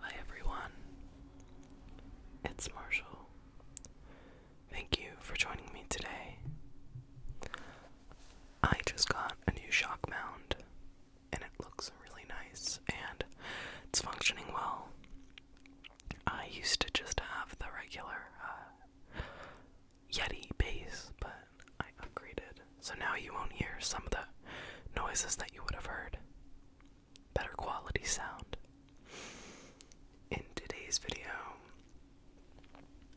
Hi everyone, it's Marshall. Thank you for joining me today. I just got a new shock mount and it looks really nice and it's functioning well. I used to just have the regular uh, Yeti bass, but I upgraded, so now you won't hear some of the noises that you would have heard better quality sound. In today's video,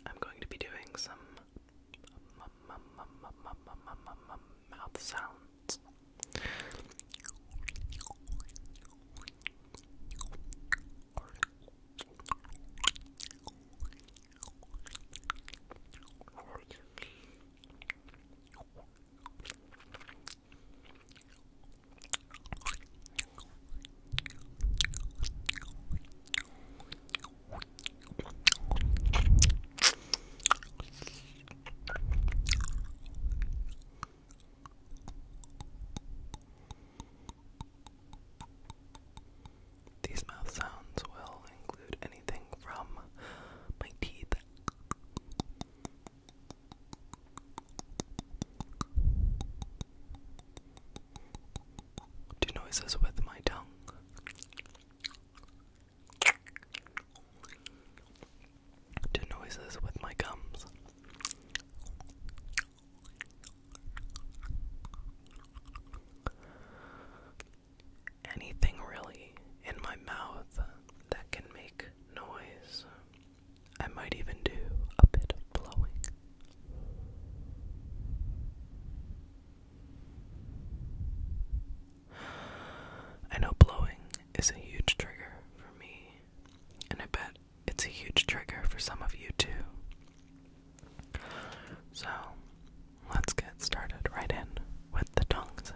I'm going to be doing some mouth sounds. These mouth sounds will include anything from my teeth do noises with my tongue. Do noises with my gums anything really in my mouth that can make noise. I might even do a bit of blowing. I know blowing is a huge trigger for me, and I bet it's a huge trigger for some of you too. So, let's get started right in with the tongue sounds.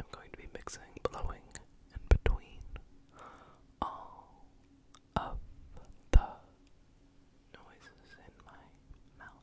I'm going to be mixing blowing in between all of the noises in my mouth.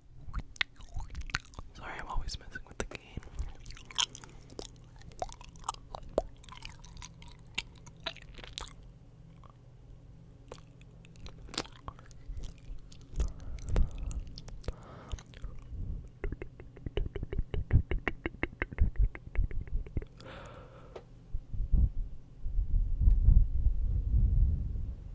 Sorry, I'm always messing with the game.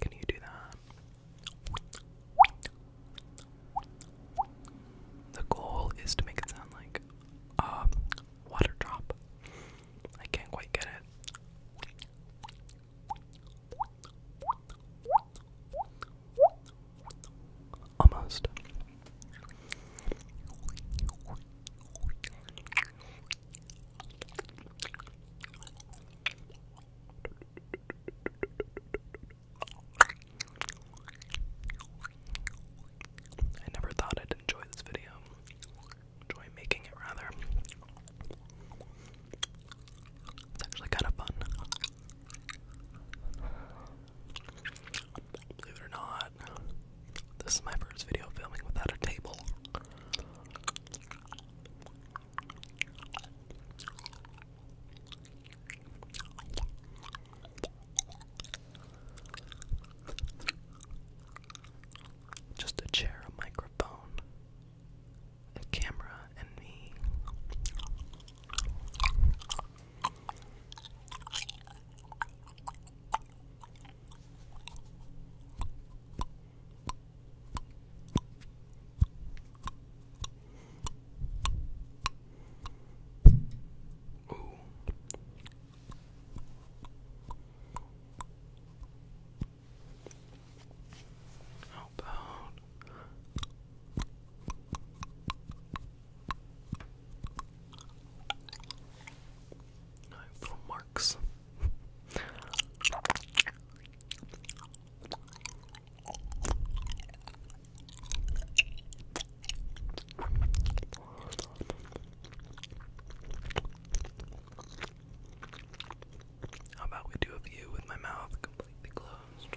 Can you do that? The goal is to make it sound like a water drop. I can't quite get it. Almost. I never thought I'd enjoy this video. Enjoy making it, rather. It's actually kind of fun. Believe it or not, this is my first video filming without a table. Just a chair, a microphone, a camera, and me. Ooh. How about little marks? How about we do a view with my mouth completely closed?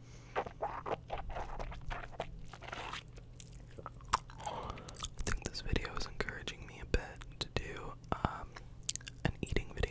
I think this video is encouraging me a bit to do um, an eating video.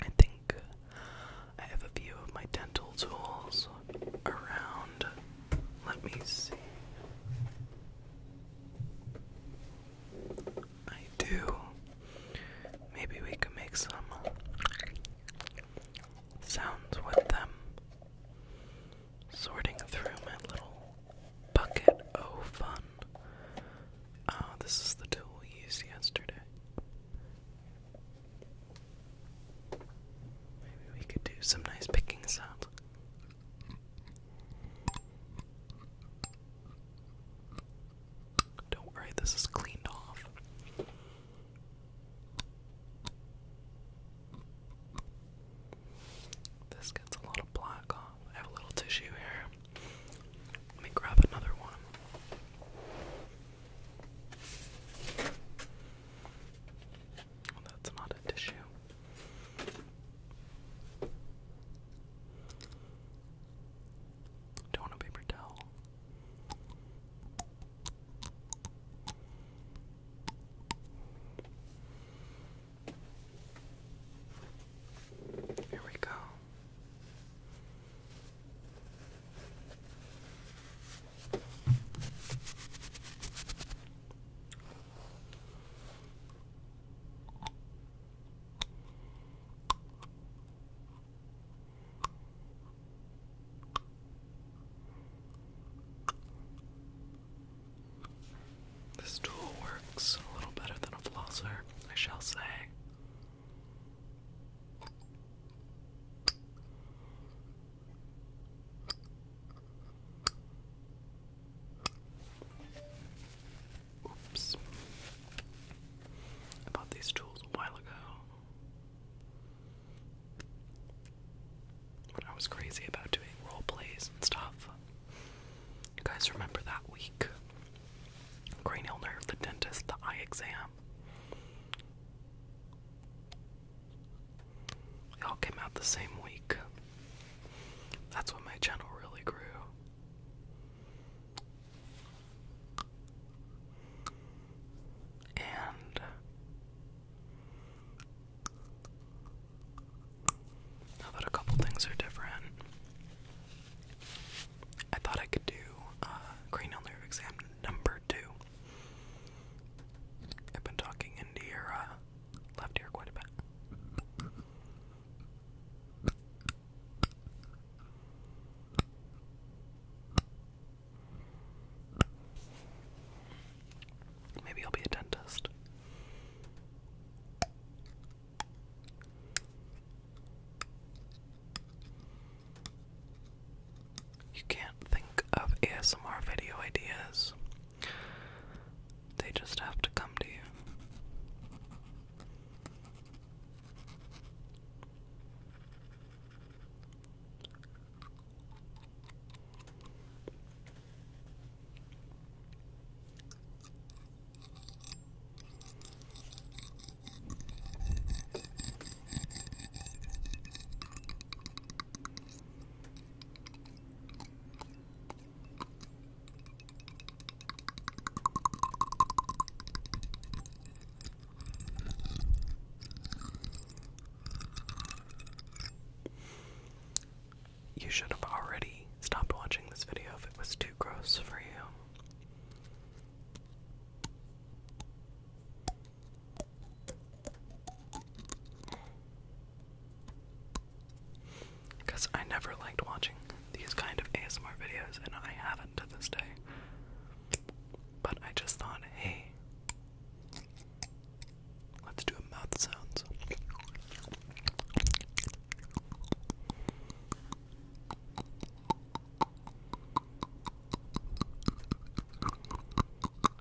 I think I have a few of my dental tools around let me see. I do. Maybe we can make some sounds with them. Sorting through my little bucket of fun. Oh, this is the tool we used yesterday. Maybe we could do some nice pickings up. Don't worry, this is cleaned off. This gets a lot of black off. I have a little tissue here. Let me grab another one that's not a tissue. Do paper towel? Here we go. This tool works a little better than a flosser, I shall say. Oops. I bought these tools a while ago. When I was crazy about doing role plays and stuff. You guys remember that week? Cranial nerve, the dentist, the eye exam. They all came out the same week. That's when my channel really grew. And now that a couple things are different, I thought I could do uh, cranial nerve exam number two. I've been talking into your uh, left ear quite a bit. Maybe I'll be a dentist. You can't think of ASMR video ideas. They just have to come to you. You should have already stopped watching this video if it was too gross for you. Because I never liked watching these kind of ASMR videos, and I haven't to this day. But I just thought, hey, let's do a mouth sounds.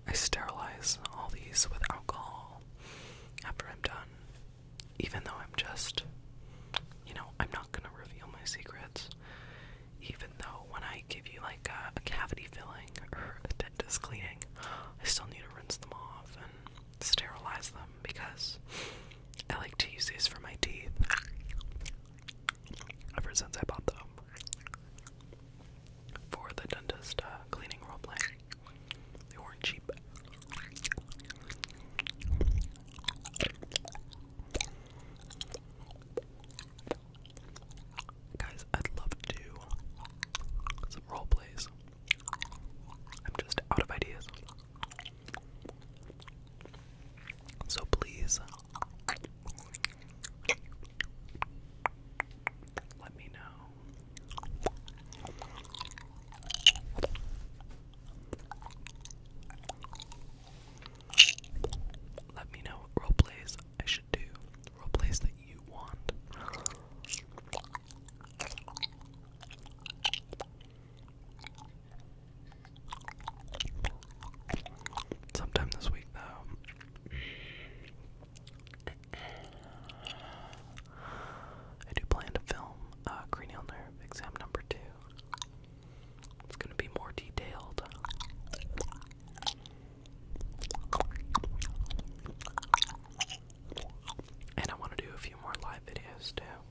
I sterilize all these with alcohol after I'm done, even though I'm just, you know, I'm not gonna reveal my secrets. Even though when I give you like a, cavity filling or a dentist cleaning, I still need to rinse them off and sterilize them because I like to use these for my teeth ever since I bought them for the dentist uh, cleaning roleplay. They weren't cheap. Guys, I'd love to some role I'm just out of ideas. So please let me know. Let me know role plays I should do. Role plays that you want. Sometime this week, though, I do plan to film uh, cranial nerve exam number two. It's going to be more detailed. And I want to do a few more live videos too.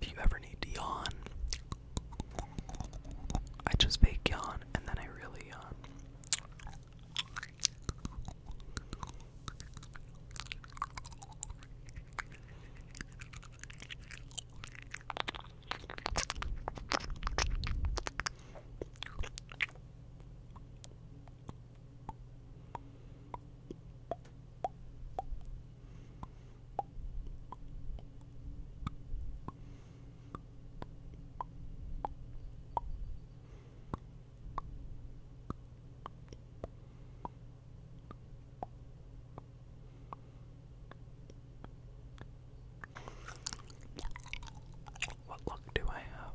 If you ever need to I just fake yawn and then I really yawn. Um, what luck do I have?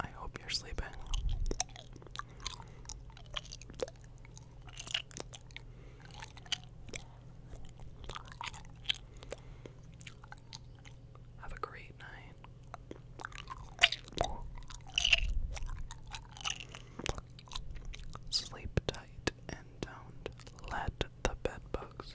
I hope you're sleeping. Have a great night. Sleep tight and don't let the bedbugs